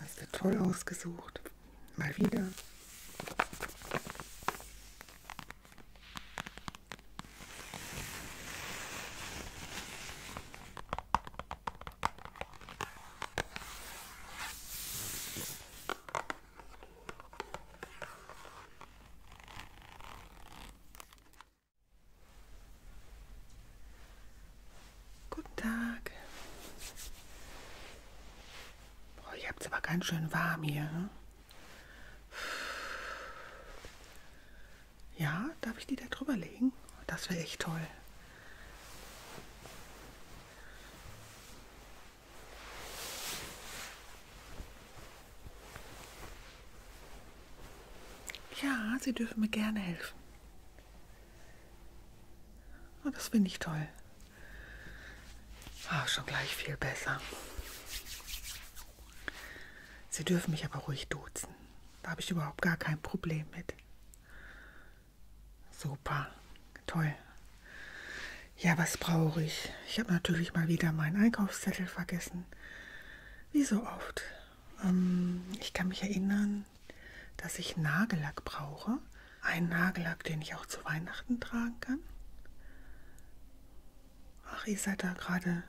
Hast du toll ausgesucht. Mal wieder. Guten Tag. Boah, ihr habt es aber ganz schön warm hier. Ne? Ja, darf ich die da drüber legen? Das wäre echt toll. Ja, Sie dürfen mir gerne helfen. Oh, das finde ich toll. War ah, schon gleich viel besser. Sie dürfen mich aber ruhig duzen. Da habe ich überhaupt gar kein Problem mit. Super, toll. Ja, was brauche ich? Ich habe natürlich mal wieder meinen Einkaufszettel vergessen. Wie so oft. Ähm, ich kann mich erinnern, dass ich Nagellack brauche. Ein Nagellack, den ich auch zu Weihnachten tragen kann. Ach, ihr seid da gerade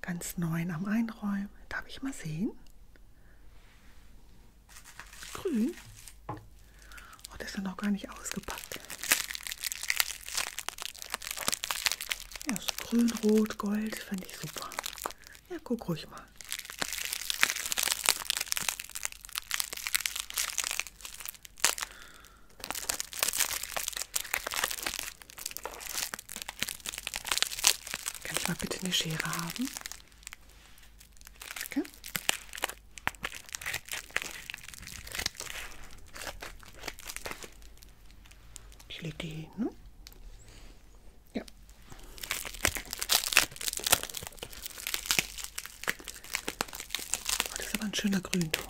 ganz neu am Einräumen. Darf ich mal sehen? Grün. Oh, das ist ja noch gar nicht ausgepackt. Ja, so grün, rot, gold, finde ich super. Ja, guck ruhig mal. Kann ich mal bitte eine Schere haben? Okay. Ich lege die hin. Ne? Ja. Oh, das ist aber ein schöner Grünton.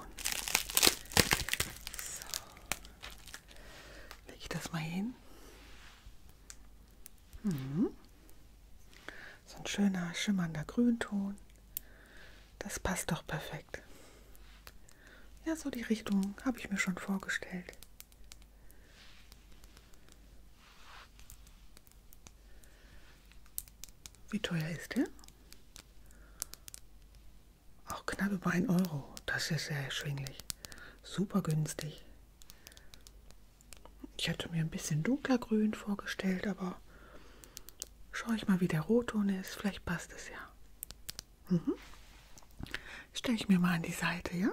So. Lege ich das mal hin. Mhm. So ein schöner, schimmernder Grünton. Das passt doch perfekt. Ja, so die Richtung habe ich mir schon vorgestellt. Wie teuer ist der? Auch knapp über 1 Euro. Das ist sehr erschwinglich. Super günstig. Ich hatte mir ein bisschen dunkler grün vorgestellt, aber schaue ich mal, wie der Rotton ist. Vielleicht passt es ja. Mhm. Stelle ich mir mal an die Seite, ja?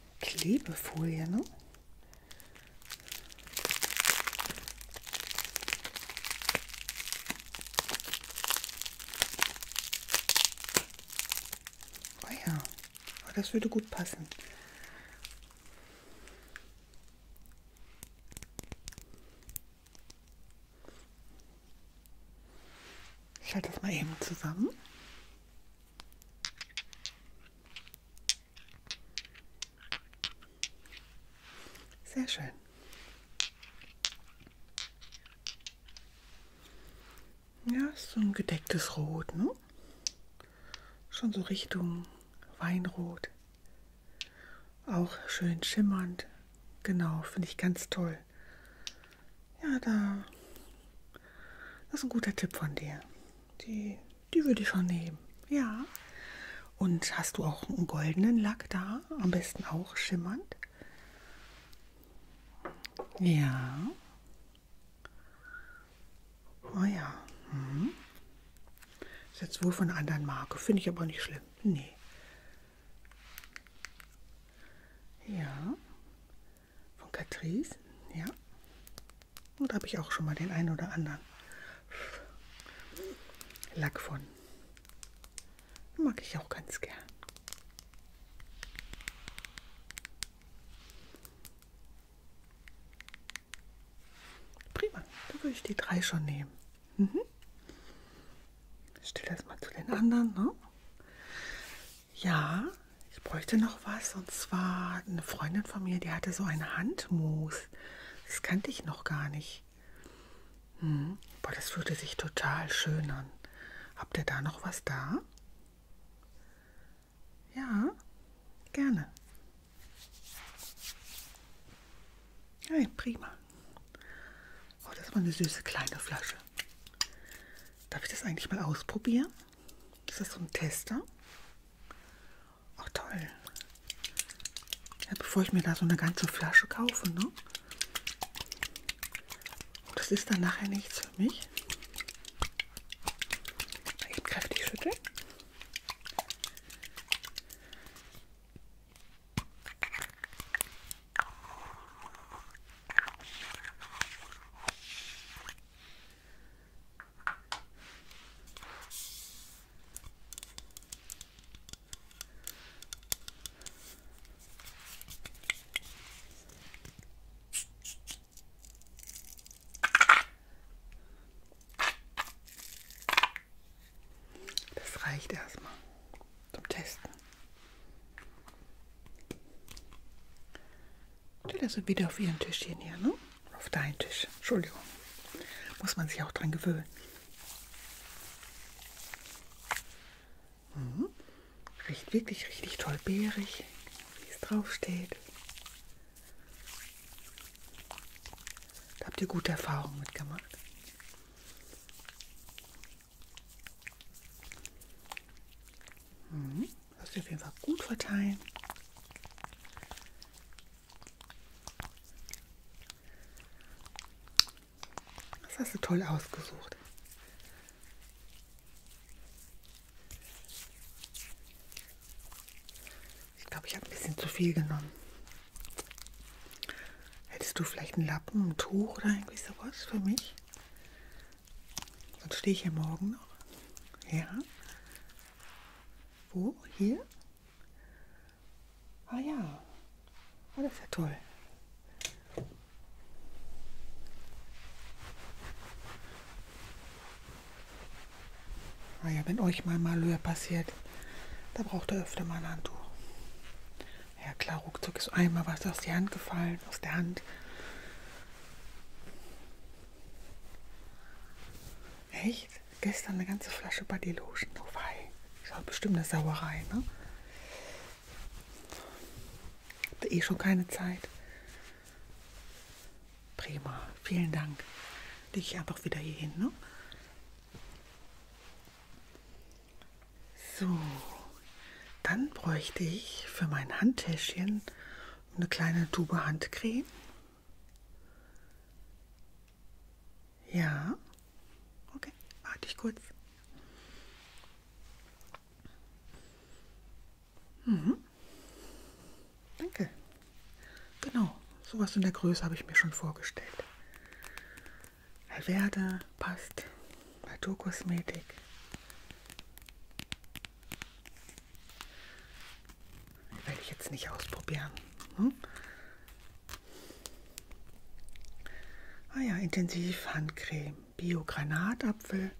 Klebefolie, ne? Oh ja, oh, das würde gut passen. Ich halte das mal eben zusammen. Sehr schön. Ja, ist so ein gedecktes Rot, ne? Schon so Richtung Weinrot. Auch schön schimmernd. Genau, finde ich ganz toll. Ja, da das ist ein guter Tipp von dir. Die, die würde ich schon nehmen. Ja. Und hast du auch einen goldenen Lack da? Am besten auch schimmernd. Ja. Oh ja. Mhm. Ist jetzt wohl von einer anderen Marke. Finde ich aber nicht schlimm. Nee. Ja. Von Catrice, ja. Und da habe ich auch schon mal den einen oder anderen Lack von. Mag ich auch ganz gern. Prima, da würde ich die drei schon nehmen. Mhm. Ich stelle das mal zu den anderen. Ne? Ja, ich bräuchte noch was. Und zwar eine Freundin von mir, die hatte so eine Handmus. Das kannte ich noch gar nicht. Hm. Boah, das fühlte sich total schön an. Habt ihr da noch was da? Ja, gerne. Ja, prima. Oh, das ist mal eine süße kleine Flasche. Darf ich das eigentlich mal ausprobieren? Ist das so ein Tester? Ach toll. Ja, bevor ich mir da so eine ganze Flasche kaufe, ne? Und das ist dann nachher nichts für mich. Eben kräftig schütteln. Das reicht erstmal zum Testen. Die sind wieder auf ihren Tischchen hier, ne? Auf deinen Tisch. Entschuldigung. Muss man sich auch dran gewöhnen. Mhm. Riecht wirklich richtig toll beerig, wie es draufsteht. Da habt ihr gute Erfahrungen mitgemacht. Mhm. Das auf jeden Fall gut verteilen. Das hast du toll ausgesucht. Ich glaube, ich habe ein bisschen zu viel genommen. Hättest du vielleicht einen Lappen, ein Tuch oder irgendwie sowas für mich? Sonst stehe ich ja morgen noch. Ja. Wo? Hier? Ah ja. Oh, das ist ja toll. Ah ja, wenn euch mal Malheur passiert, da braucht ihr öfter mal ein Handtuch. Ja klar, ruckzuck ist einmal was aus der Hand gefallen, aus der Hand. Echt? Gestern eine ganze Flasche Body Lotion. Oh wei. Ist auch bestimmt eine Sauerei, ne? Hatte eh schon keine Zeit. Prima. Vielen Dank. Leg ich einfach wieder hier hin, ne? So. Dann bräuchte ich für mein Handtäschchen eine kleine Tube Handcreme. Ja. Okay, warte ich kurz. Mhm. Danke. Genau, sowas in der Größe habe ich mir schon vorgestellt. Alverde passt. Naturkosmetik. Werde ich jetzt nicht ausprobieren. Hm? Ah ja, intensiv Handcreme, Bio Granatapfel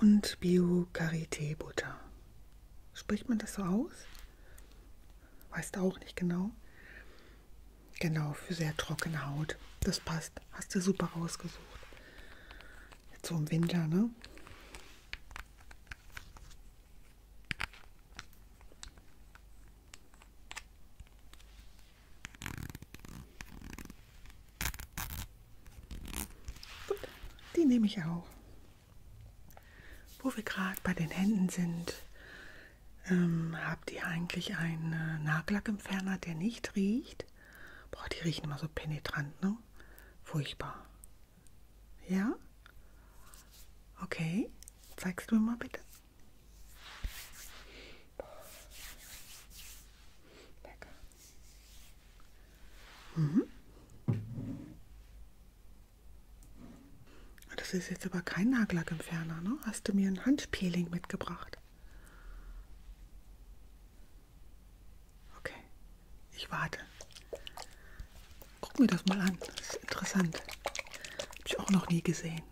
und Bio Karité Butter. Spricht man das so aus? Weißt du auch nicht genau? Genau, für sehr trockene Haut. Das passt. Hast du super rausgesucht. Jetzt so im Winter, ne? Gut, die nehme ich auch. Wo wir gerade bei den Händen sind, ähm, habt ihr eigentlich einen äh, Nagellackentferner, der nicht riecht? Boah, die riechen immer so penetrant, ne? genau. Furchtbar. Ja? Okay. Zeigst du mir mal bitte. Lecker. Mhm. Das ist jetzt aber kein Nagellackentferner, ne? Hast du mir ein Handpeeling mitgebracht? Okay, ich warte. Guck mir das mal an. Das ist interessant. Hab ich auch noch nie gesehen.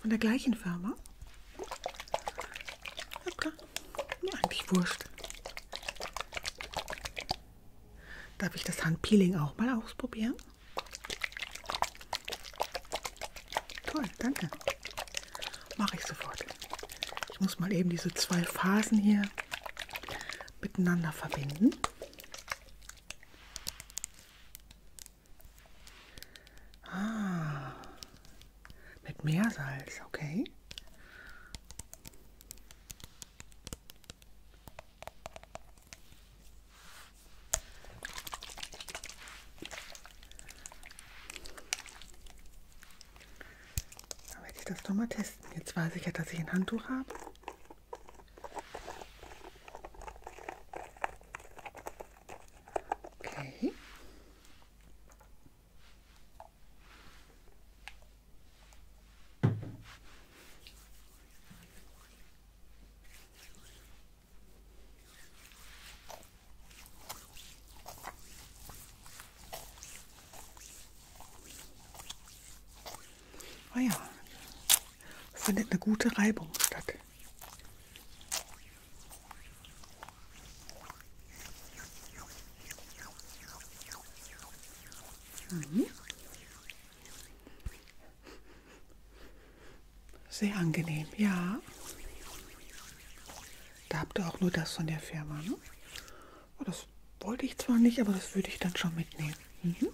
Von der gleichen Firma? Ja, klar. Ja, eigentlich wurscht. Darf ich das Handpeeling auch mal ausprobieren? Toll, danke. Mache ich sofort. Ich muss mal eben diese zwei Phasen hier miteinander verbinden. Ah, mit Meersalz, okay. Dann werde ich das doch mal testen. Jetzt weiß ich ja, dass ich ein Handtuch habe. Okay. Ah ja, findet eine gute Reibung statt. Mhm. Sehr angenehm, ja. Da habt ihr auch nur das von der Firma. Ne? Oh, das wollte ich zwar nicht, aber das würde ich dann schon mitnehmen. Mhm.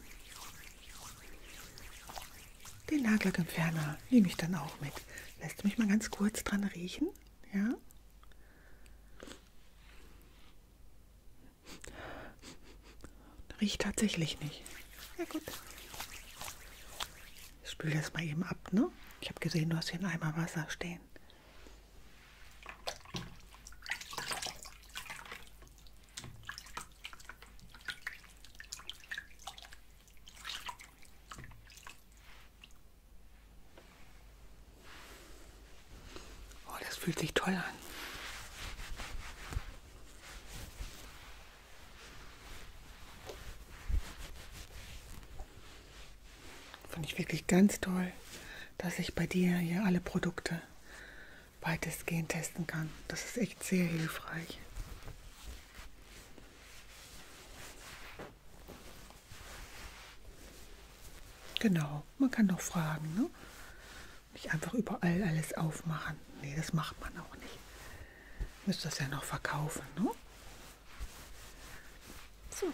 Den Nagellackentferner nehme ich dann auch mit. Lässt mich mal ganz kurz dran riechen. Ja. Riecht tatsächlich nicht. Ja gut. Ich spüle das mal eben ab, ne? Ich habe gesehen, du hast hier einen Eimer Wasser stehen. Oh, das fühlt sich toll an. Fand ich wirklich ganz toll, dass ich bei dir hier alle Produkte weitestgehend testen kann. Das ist echt sehr hilfreich. Genau, man kann doch fragen, ne? Nicht einfach überall alles aufmachen. Nee, das macht man auch nicht. Müsst das ja noch verkaufen, ne? So.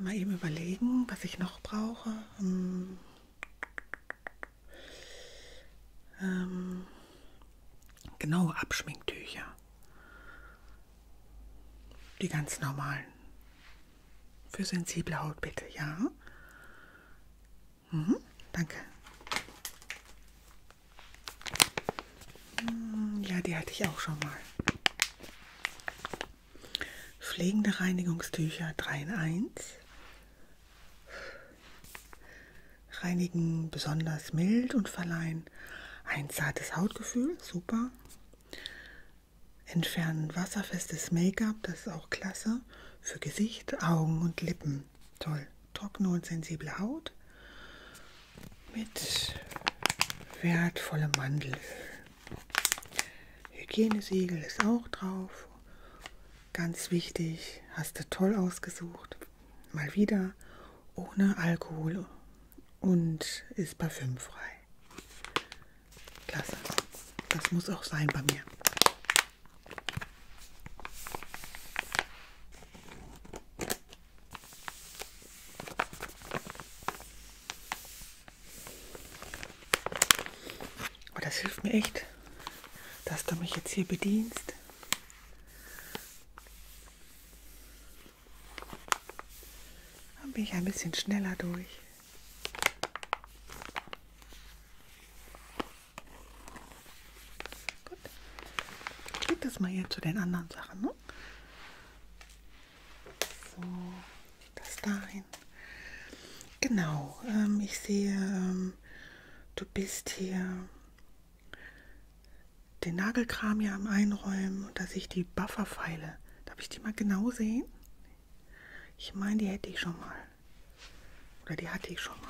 Mal eben überlegen, was ich noch brauche. Hm. Ähm. Genau, Abschminktücher. Die ganz normalen. Für sensible Haut bitte, ja? Mhm, danke. Hm, ja, die hatte ich auch schon mal. Pflegende Reinigungstücher 3 in 1. Reinigen besonders mild und verleihen ein zartes Hautgefühl. Super entfernen wasserfestes Make-up, das ist auch klasse, für Gesicht, Augen und Lippen. Toll. Trockene und sensible Haut mit wertvollem Mandelöl. Hygienesiegel ist auch drauf. Ganz wichtig, hast du toll ausgesucht. Mal wieder ohne Alkohol und ist parfümfrei. Klasse. Das muss auch sein bei mir. Oh, das hilft mir echt, dass du mich jetzt hier bedienst. Dann bin ich ein bisschen schneller durch. Gut. Geht das mal hier zu den anderen Sachen, ne? So, das dahin. Genau, ähm, ich sehe, ähm, du bist hier den Nagelkram hier am Einräumen und da sehe ich die Bufferpfeile. Darf ich die mal genau sehen? Ich meine, die hätte ich schon mal. Oder die hatte ich schon mal.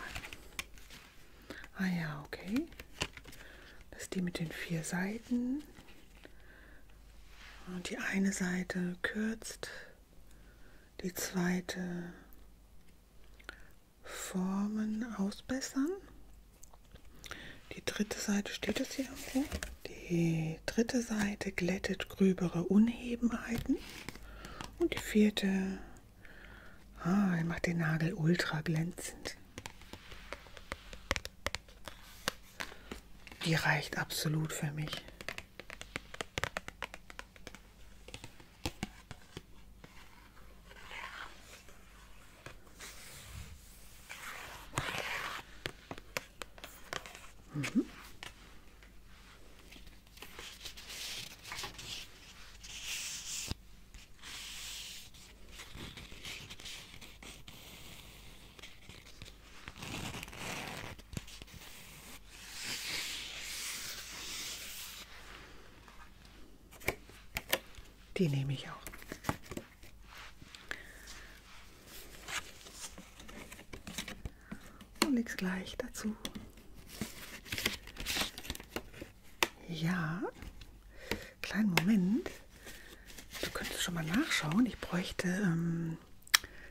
Ah ja, okay. Das ist die mit den vier Seiten. Und die eine Seite kürzt, die zweite Formen ausbessern. Die dritte Seite steht es hier irgendwo. Die die dritte Seite glättet gröbere Unebenheiten und die vierte ah, macht den Nagel ultra glänzend. Die reicht absolut für mich. Mhm. Die nehme ich auch und leg's gleich dazu. Ja, kleinen Moment. Du könntest schon mal nachschauen. Ich bräuchte ähm,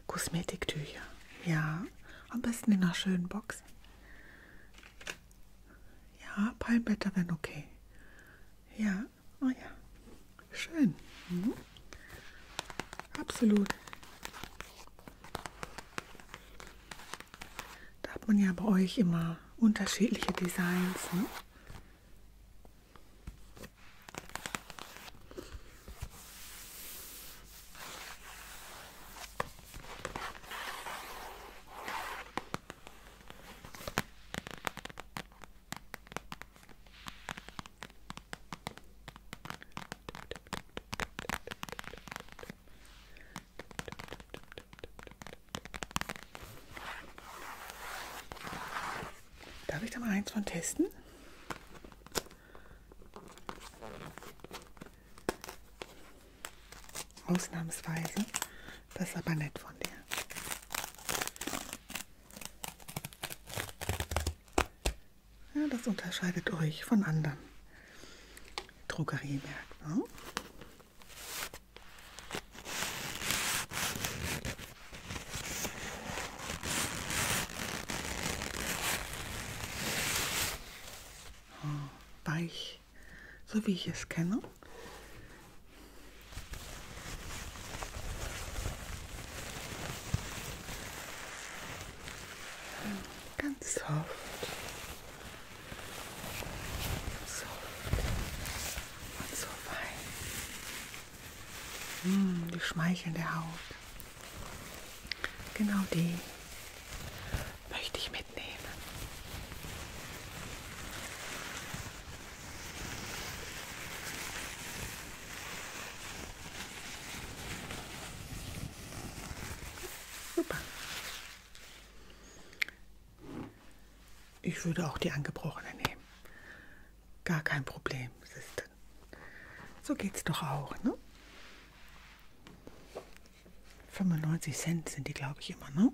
Kosmetiktücher. Ja, am besten in einer schönen Box. Ja, Palmblätter wären okay. Ja, oh ja. Schön. Mhm. Absolut. Da hat man ja bei euch immer unterschiedliche Designs. Ne? Darf ich da mal eins von testen? Ausnahmsweise. Das ist aber nett von dir. Ja, das unterscheidet euch von anderen Drogeriemärkten. Ne? Oh, weich, so wie ich es kenne. Ganz soft. Soft. Und so fein. Mm, die schmeichelnde Haut. Genau die möchte ich mitnehmen. Super. Ich würde auch die angebrochene nehmen. Gar kein Problem, Sisten. So geht's doch auch, ne? 95 Cent sind die, glaube ich, immer, ne?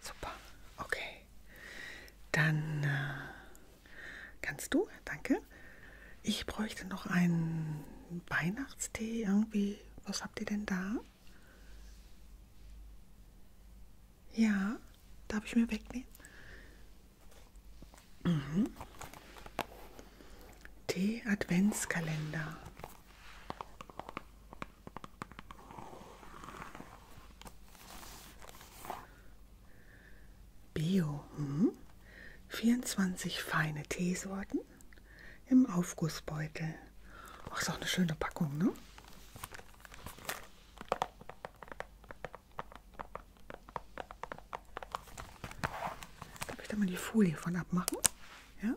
Super, okay. Dann äh, Kannst du? Danke. Ich bräuchte noch einen Weihnachtstee irgendwie. Was habt ihr denn da? Ja, darf ich mir wegnehmen? Mhm. Tee Adventskalender. Bio, hm? 24 feine Teesorten im Aufgussbeutel. Ach, ist auch eine schöne Packung, ne? Darf ich da mal die Folie von abmachen? Ja?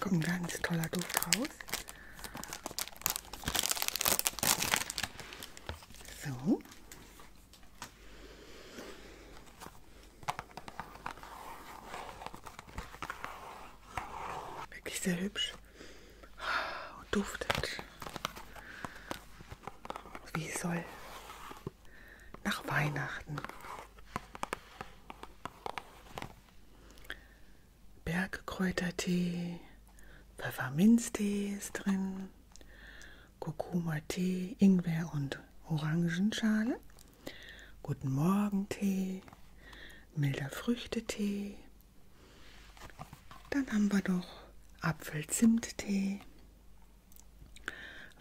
Kommt ein ganz toller Duft raus. So. Wirklich sehr hübsch und duftet. Wie soll nach Weihnachten. Bergkräutertee, Pfefferminztee ist drin. Kurkuma Tee, Ingwer und Orangenschale. Guten Morgen Tee, milder Früchtetee. Dann haben wir doch Apfelzimttee,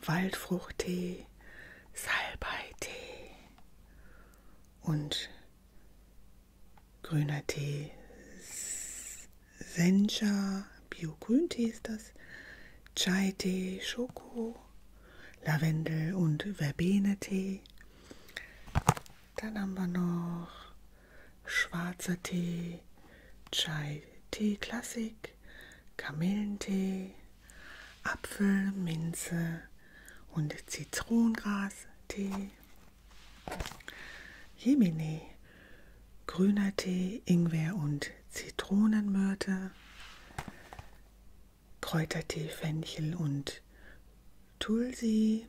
Waldfruchttee, Salbeitee und grüner Tee, Sencha, Bio-Grüntee ist das, Chai-Tee, Schoko, Lavendel- und Verbene-Tee. Dann haben wir noch schwarzer Tee, Chai-Tee Klassik, Kamillentee, Apfel, Minze und Zitronengras-Tee. Jemine, grüner Tee, Ingwer und Zitronenmörte, Kräutertee, Fenchel und Tulsi,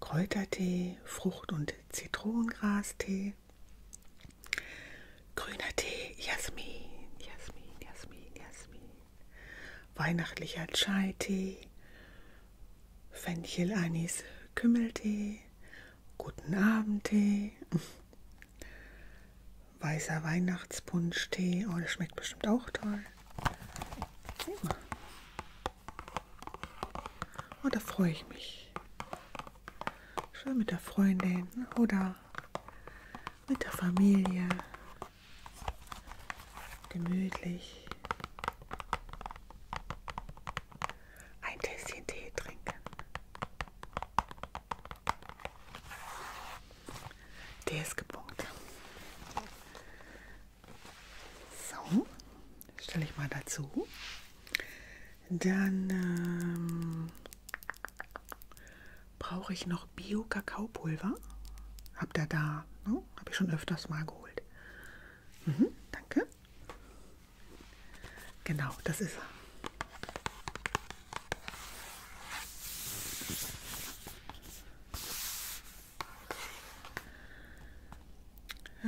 Kräutertee, Frucht- und Zitronengrastee, grüner Tee, Jasmin, Jasmin, Jasmin, Jasmin, weihnachtlicher Chai-Tee, Fenchel, Anis, Kümmeltee, Guten Abendtee, weißer Weihnachtspunschtee. Oh, das schmeckt bestimmt auch toll. Oh, da freue ich mich. Schön mit der Freundin oder mit der Familie. Gemütlich. Ein Tässchen Tee trinken. Der ist gebunkt. So, stelle ich mal dazu. Dann ähm, brauche ich noch Bio-Kakaopulver. Habt ihr da? Ne? Habe ich schon öfters mal geholt. Mhm, danke. Genau, das ist er.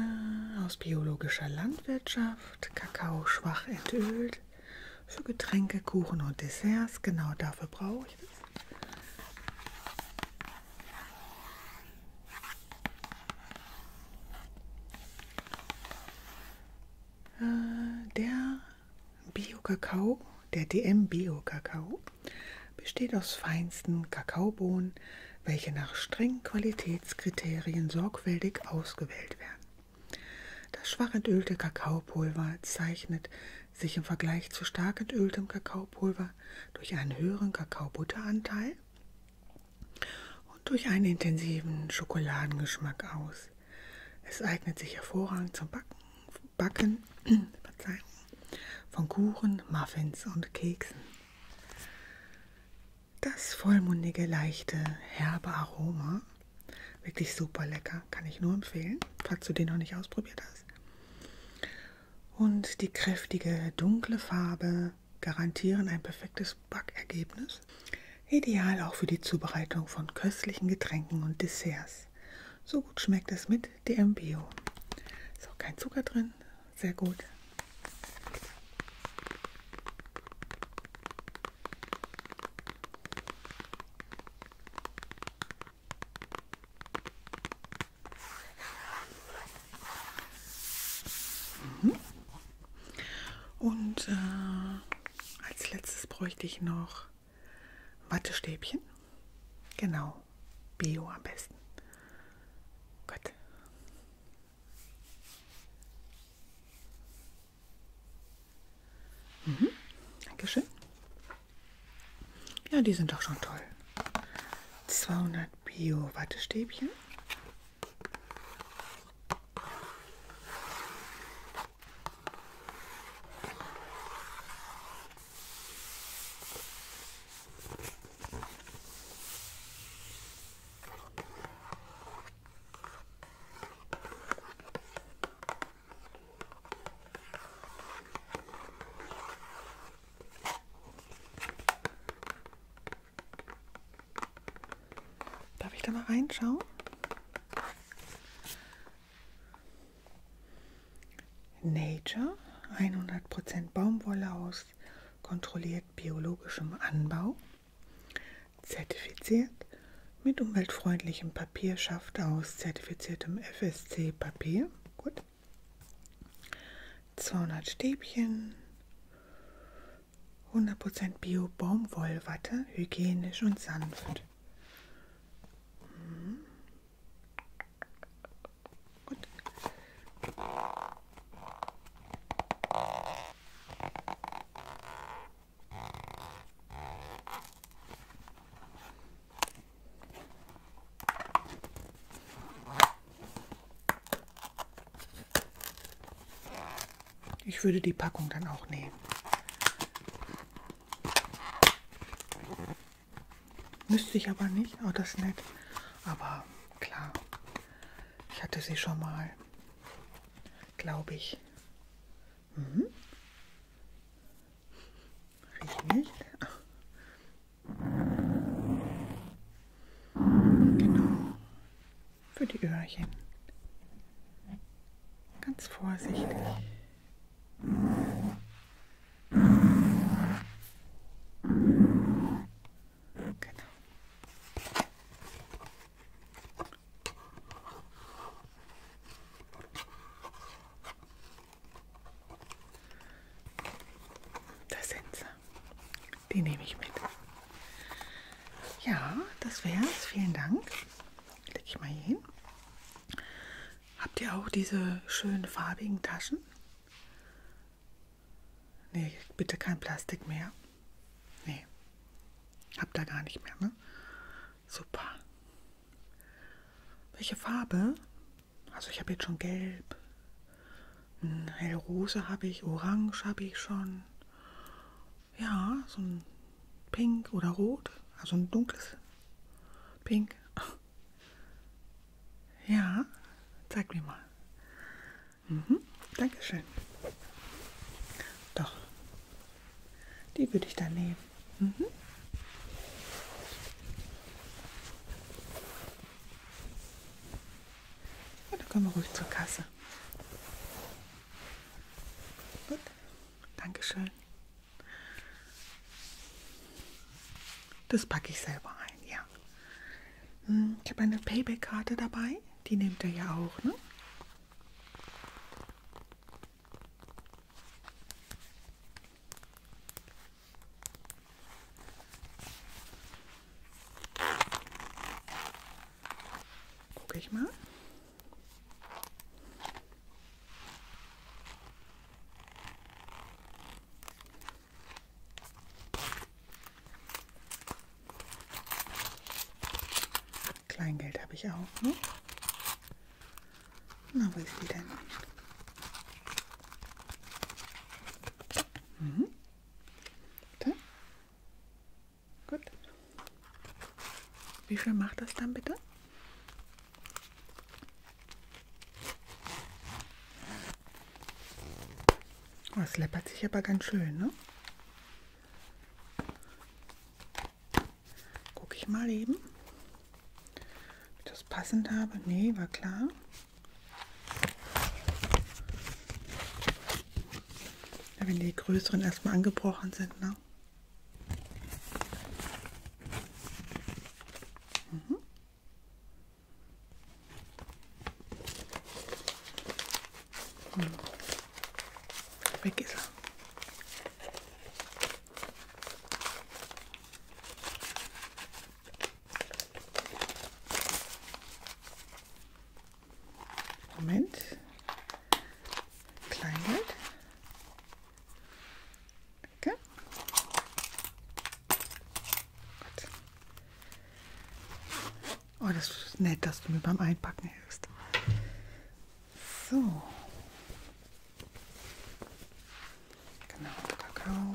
Äh, aus biologischer Landwirtschaft, Kakao schwach entölt, für Getränke, Kuchen und Desserts, genau dafür brauche ich das. Äh, der Bio-Kakao, der DM Bio-Kakao, besteht aus feinsten Kakaobohnen, welche nach strengen Qualitätskriterien sorgfältig ausgewählt werden. Das schwach entölte Kakaopulver zeichnet sich im Vergleich zu stark entöltem Kakaopulver durch einen höheren Kakaobutteranteil und durch einen intensiven Schokoladengeschmack aus. Es eignet sich hervorragend zum Backen, Backen von Kuchen, Muffins und Keksen. Das vollmundige, leichte, herbe Aroma, wirklich super lecker, kann ich nur empfehlen, falls du den noch nicht ausprobiert hast. Und die kräftige, dunkle Farbe Gerichte garantieren ein perfektes Backergebnis, ideal auch für die Zubereitung von köstlichen Getränken und Desserts. So gut schmeckt es mit DM Bio. Ist auch kein Zucker drin, sehr gut. Mhm. Und äh, als letztes bräuchte ich noch Wattestäbchen. Genau, Bio am besten. Gut. Mhm. Dankeschön. Ja, die sind doch schon toll. 200 Heimat Bio Wattestäbchen. Darf ich da mal reinschauen? Nature, 100% Baumwolle aus kontrolliert biologischem Anbau, zertifiziert mit umweltfreundlichem Papierschaft aus zertifiziertem FSC Papier. Gut. 200 Stäbchen, 100% Bio Baumwollwatte, hygienisch und sanft. Mhm. Gut. Ich würde die Packung dann auch nehmen. Müsste ich aber nicht, oh, das ist nett. Aber klar, ich hatte sie schon mal, glaube ich. Mhm. Riecht nicht. Genau. Für die Öhrchen. Ganz vorsichtig. Genau. Da sind sie. Die nehme ich mit. Ja, das wär's. Vielen Dank. Leg ich mal hier hin. Habt ihr auch diese schönen farbigen Taschen? Nee, bitte kein Plastik mehr. Nee. Habt da gar nicht mehr, ne? Super. Welche Farbe? Also ich habe jetzt schon gelb. Ein hellrosa habe ich, orange habe ich schon. Ja, so ein pink oder rot. Also ein dunkles Pink. Ja, zeig mir mal. Mhm, Dankeschön. Doch. Die würde ich dann nehmen. Mhm. Und dann können wir ruhig zur Kasse. Gut, Dankeschön. Das packe ich selber ein, ja. Hm, ich habe eine Payback-Karte dabei. Die nehmt ihr ja auch, ne? Gucke ich mal. Kleingeld habe ich auch noch. Ne? Na, wo ist die denn? Mhm. Bitte? Gut. Wie viel macht das dann bitte? Oh, es läppert sich aber ganz schön, ne? Guck ich mal eben, ob ich das passend habe. Nee, war klar. Wenn die größeren erstmal angebrochen sind, ne? Mhm. Hm. Weg ist er. Moment. Kleingeld. Okay. Gut. Oh, das ist nett, dass du mir beim Einpacken hilfst. So. Genau, Kakao.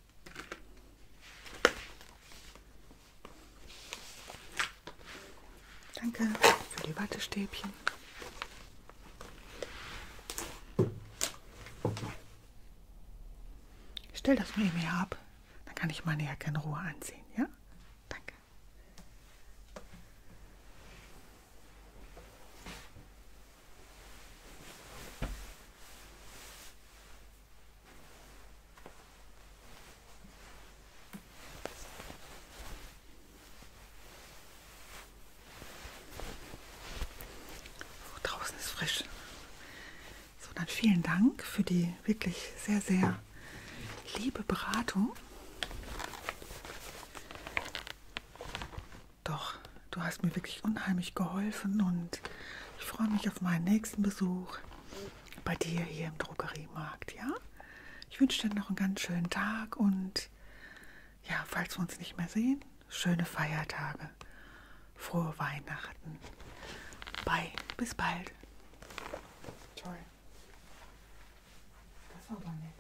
Danke für die Wattestäbchen. Ich stell das neben mir ab, dann kann ich meine Jacke in Ruhe anziehen, ja? Danke. So, oh, draußen ist frisch. So, dann vielen Dank für die wirklich sehr, sehr liebe Beratung. Doch. Du hast mir wirklich unheimlich geholfen und ich freue mich auf meinen nächsten Besuch bei dir hier im Drogeriemarkt, ja? Ich wünsche dir noch einen ganz schönen Tag und ja, falls wir uns nicht mehr sehen, schöne Feiertage. Frohe Weihnachten. Bye, bis bald. Toll. Das war aber nett.